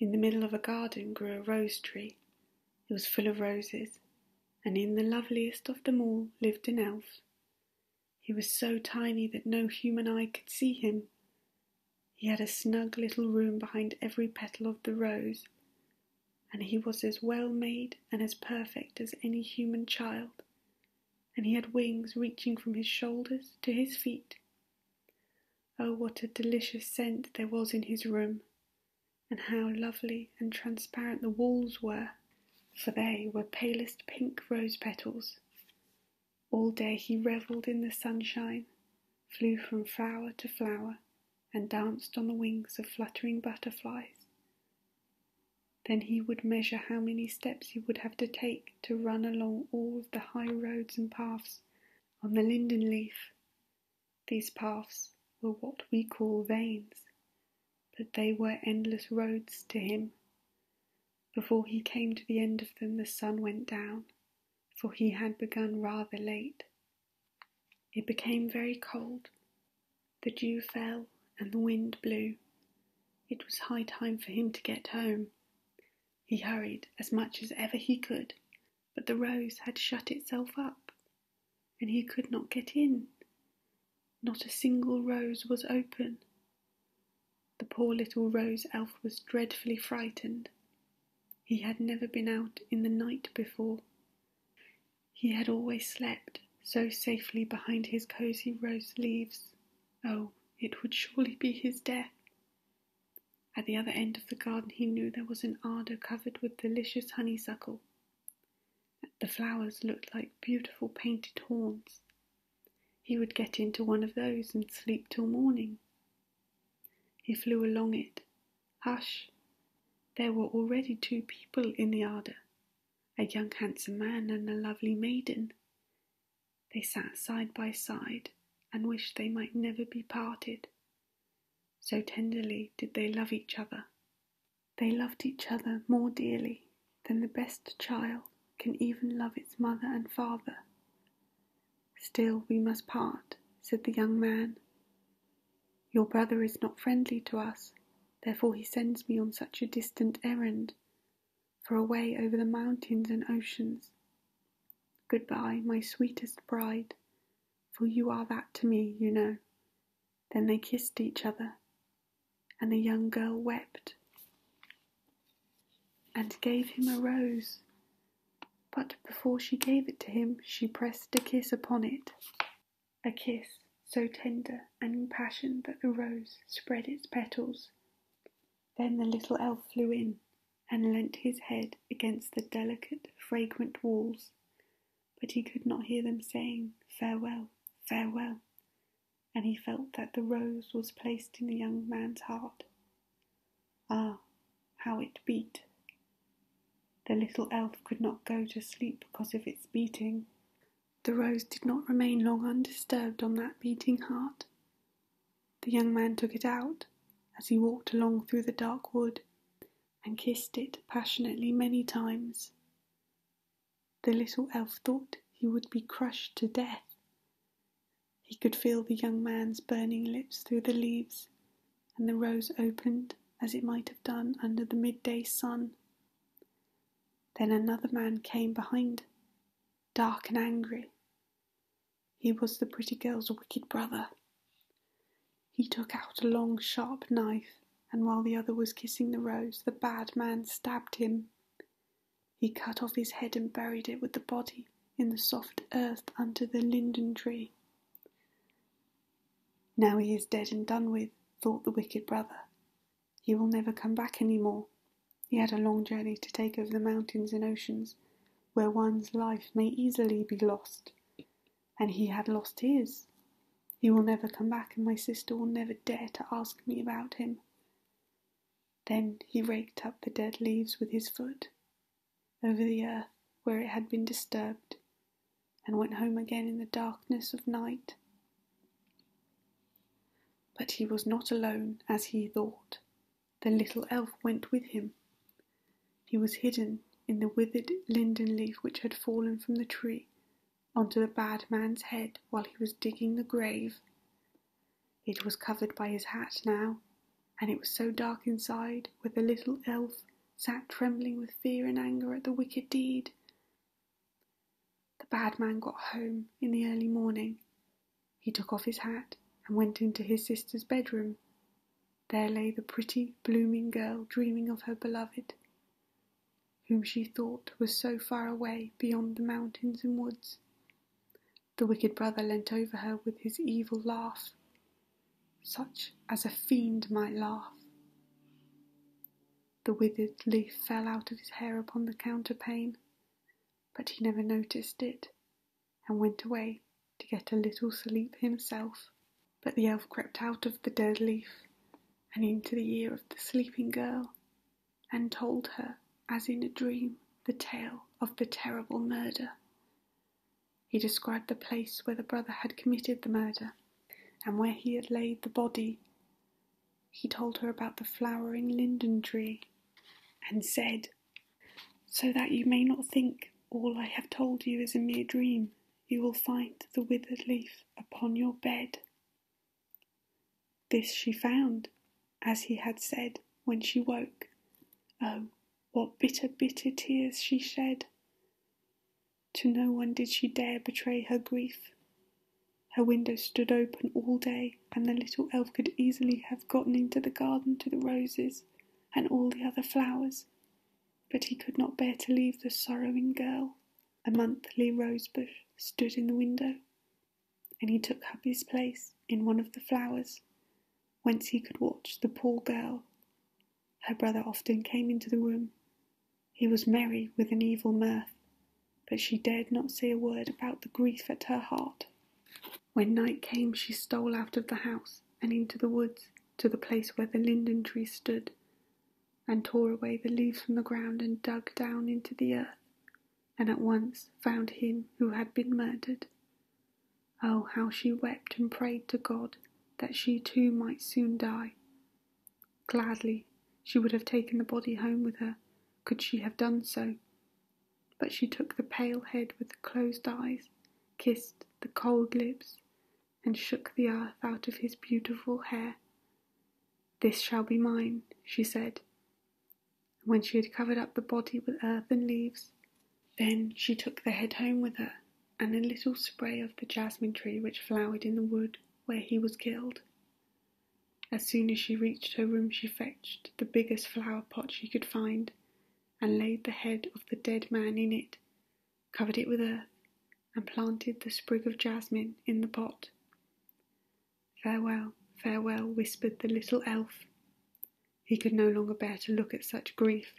In the middle of a garden grew a rose tree. It was full of roses, and in the loveliest of them all lived an elf. He was so tiny that no human eye could see him. He had a snug little room behind every petal of the rose, and he was as well made and as perfect as any human child, and he had wings reaching from his shoulders to his feet. Oh, what a delicious scent there was in his room, and how lovely and transparent the walls were, for they were palest pink rose petals. All day he revelled in the sunshine, flew from flower to flower, and danced on the wings of fluttering butterflies. Then he would measure how many steps he would have to take to run along all the high roads and paths on the linden leaf. These paths were what we call veins, but they were endless roads to him. Before he came to the end of them, the sun went down, for he had begun rather late. It became very cold. The dew fell and the wind blew. It was high time for him to get home. He hurried as much as ever he could, but the rose had shut itself up, and he could not get in. Not a single rose was open. The poor little rose elf was dreadfully frightened. He had never been out in the night before. He had always slept so safely behind his cosy rose leaves. Oh, it would surely be his death! At the other end of the garden, he knew there was an arbour covered with delicious honeysuckle. The flowers looked like beautiful painted horns. He would get into one of those and sleep till morning. He flew along it. Hush! There were already two people in the arbour a young handsome man and a lovely maiden. They sat side by side and wished they might never be parted. So tenderly did they love each other. They loved each other more dearly than the best child can even love its mother and father. Still, we must part, said the young man. Your brother is not friendly to us, therefore he sends me on such a distant errand for away over the mountains and oceans. Goodbye, my sweetest bride, for you are that to me, you know. Then they kissed each other, and the young girl wept and gave him a rose. But before she gave it to him, she pressed a kiss upon it, a kiss so tender and passionate that the rose spread its petals then the little elf flew in and leant his head against the delicate, fragrant walls, but he could not hear them saying, Farewell, farewell, and he felt that the rose was placed in the young man's heart. Ah, how it beat! The little elf could not go to sleep because of its beating. The rose did not remain long undisturbed on that beating heart. The young man took it out as he walked along through the dark wood and kissed it passionately many times. The little elf thought he would be crushed to death. He could feel the young man's burning lips through the leaves, and the rose opened as it might have done under the midday sun. Then another man came behind, dark and angry, he was the pretty girl's wicked brother. He took out a long, sharp knife, and while the other was kissing the rose, the bad man stabbed him. He cut off his head and buried it with the body in the soft earth under the linden tree. Now he is dead and done with, thought the wicked brother. He will never come back any more. He had a long journey to take over the mountains and oceans, where one's life may easily be lost. And he had lost his. He will never come back, and my sister will never dare to ask me about him. Then he raked up the dead leaves with his foot over the earth where it had been disturbed, and went home again in the darkness of night. But he was not alone as he thought. The little elf went with him. He was hidden in the withered linden leaf which had fallen from the tree onto the bad man's head while he was digging the grave. It was covered by his hat now, and it was so dark inside that the little elf sat trembling with fear and anger at the wicked deed. The bad man got home in the early morning. He took off his hat and went into his sister's bedroom. There lay the pretty, blooming girl dreaming of her beloved, whom she thought was so far away beyond the mountains and woods. The wicked brother leant over her with his evil laugh, such as a fiend might laugh. The withered leaf fell out of his hair upon the counterpane but he never noticed it, and went away to get a little sleep himself. But the elf crept out of the dead leaf and into the ear of the sleeping girl, and told her, as in a dream, the tale of the terrible murder. He described the place where the brother had committed the murder, and where he had laid the body, he told her about the flowering linden tree and said, So that you may not think all I have told you is a mere dream, you will find the withered leaf upon your bed. This she found, as he had said, when she woke. Oh, what bitter, bitter tears she shed! To no one did she dare betray her grief. Her window stood open all day, and the little elf could easily have gotten into the garden to the roses and all the other flowers, but he could not bear to leave the sorrowing girl. A monthly rose bush stood in the window, and he took up his place in one of the flowers, whence he could watch the poor girl. Her brother often came into the room. He was merry with an evil mirth, but she dared not say a word about the grief at her heart. When night came, she stole out of the house and into the woods to the place where the linden tree stood, and tore away the leaves from the ground and dug down into the earth, and at once found him who had been murdered. Oh, how she wept and prayed to God that she too might soon die. Gladly she would have taken the body home with her, could she have done so but she took the pale head with the closed eyes, kissed the cold lips, and shook the earth out of his beautiful hair. This shall be mine, she said. And when she had covered up the body with earth and leaves, then she took the head home with her, and a little spray of the jasmine tree which flowered in the wood where he was killed. As soon as she reached her room she fetched the biggest flower pot she could find, and laid the head of the dead man in it, covered it with earth, and planted the sprig of jasmine in the pot. Farewell, farewell, whispered the little elf. He could no longer bear to look at such grief,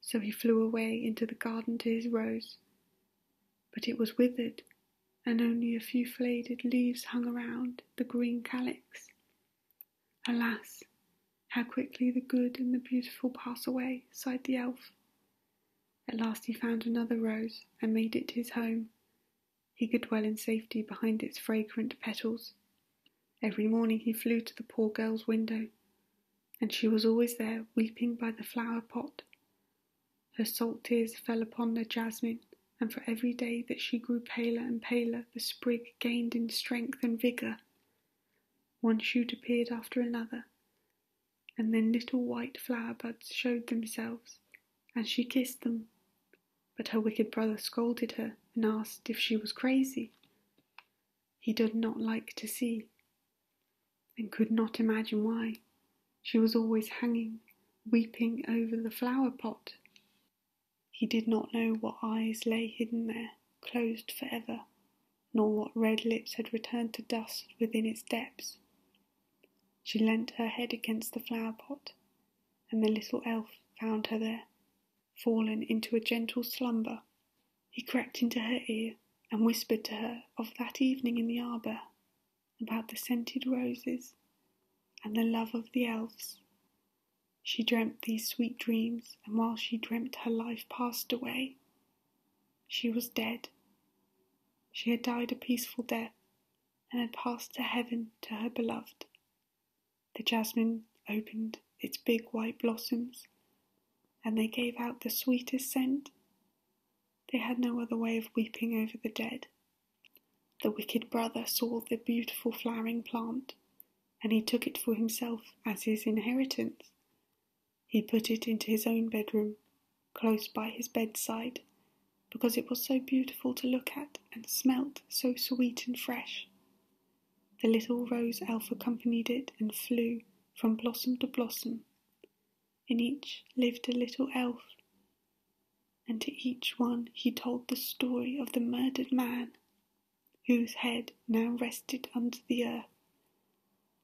so he flew away into the garden to his rose. But it was withered and only a few faded leaves hung around the green calyx. Alas, how quickly the good and the beautiful pass away, sighed the elf. At last he found another rose and made it his home. He could dwell in safety behind its fragrant petals. Every morning he flew to the poor girl's window, and she was always there weeping by the flower pot. Her salt tears fell upon the jasmine, and for every day that she grew paler and paler, the sprig gained in strength and vigour. One shoot appeared after another, and then little white flower buds showed themselves, and she kissed them. But her wicked brother scolded her and asked if she was crazy. He did not like to see, and could not imagine why. She was always hanging, weeping over the flower pot. He did not know what eyes lay hidden there, closed for ever, nor what red lips had returned to dust within its depths. She leant her head against the flower pot, and the little elf found her there, fallen into a gentle slumber. He crept into her ear and whispered to her of that evening in the arbour about the scented roses and the love of the elves. She dreamt these sweet dreams, and while she dreamt, her life passed away. She was dead. She had died a peaceful death and had passed to heaven to her beloved. The jasmine opened its big white blossoms, and they gave out the sweetest scent. They had no other way of weeping over the dead. The wicked brother saw the beautiful flowering plant, and he took it for himself as his inheritance. He put it into his own bedroom, close by his bedside, because it was so beautiful to look at and smelt so sweet and fresh. The little rose elf accompanied it and flew from blossom to blossom. In each lived a little elf, and to each one he told the story of the murdered man, whose head now rested under the earth.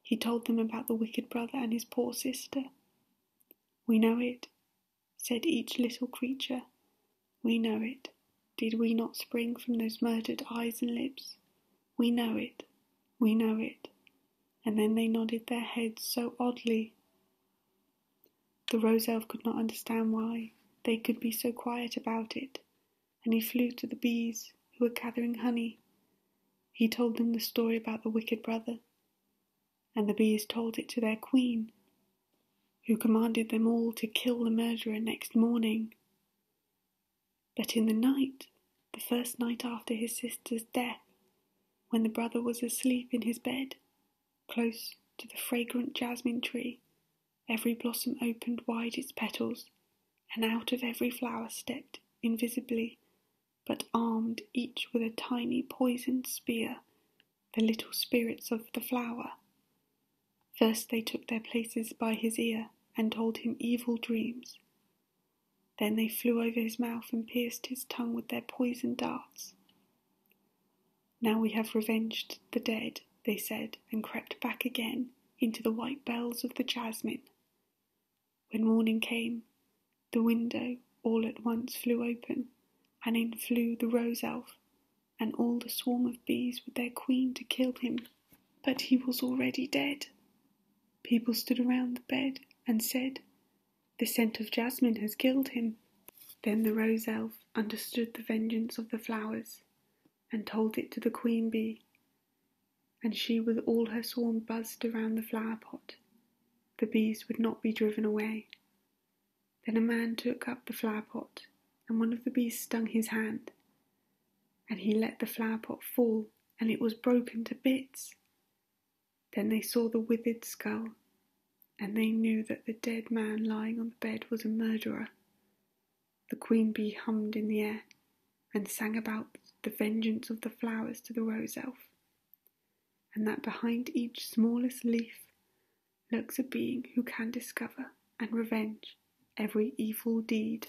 He told them about the wicked brother and his poor sister. We know it, said each little creature. We know it. Did we not spring from those murdered eyes and lips? We know it. We know it and then they nodded their heads so oddly. The Rose Elf could not understand why they could be so quiet about it, and he flew to the bees who were gathering honey. He told them the story about the wicked brother, and the bees told it to their queen, who commanded them all to kill the murderer next morning. But in the night, the first night after his sister's death, when the brother was asleep in his bed, close to the fragrant jasmine tree, every blossom opened wide its petals, and out of every flower stepped, invisibly, but armed each with a tiny poisoned spear, the little spirits of the flower. First they took their places by his ear, and told him evil dreams. Then they flew over his mouth and pierced his tongue with their poisoned darts. Now we have revenged the dead, they said, and crept back again into the white bells of the jasmine. When morning came, the window all at once flew open, and in flew the rose elf and all the swarm of bees with their queen to kill him. But he was already dead. People stood around the bed and said, the scent of jasmine has killed him." Then the Rose Elf understood the vengeance of the flowers, and told it to the Queen Bee, and she with all her swarm buzzed around the flower pot. The bees would not be driven away. Then a man took up the flower pot, and one of the bees stung his hand, and he let the flower pot fall, and it was broken to bits. Then they saw the withered skull, and they knew that the dead man lying on the bed was a murderer. The queen bee hummed in the air and sang about the vengeance of the flowers to the rose elf, and that behind each smallest leaf lurks a being who can discover and revenge every evil deed.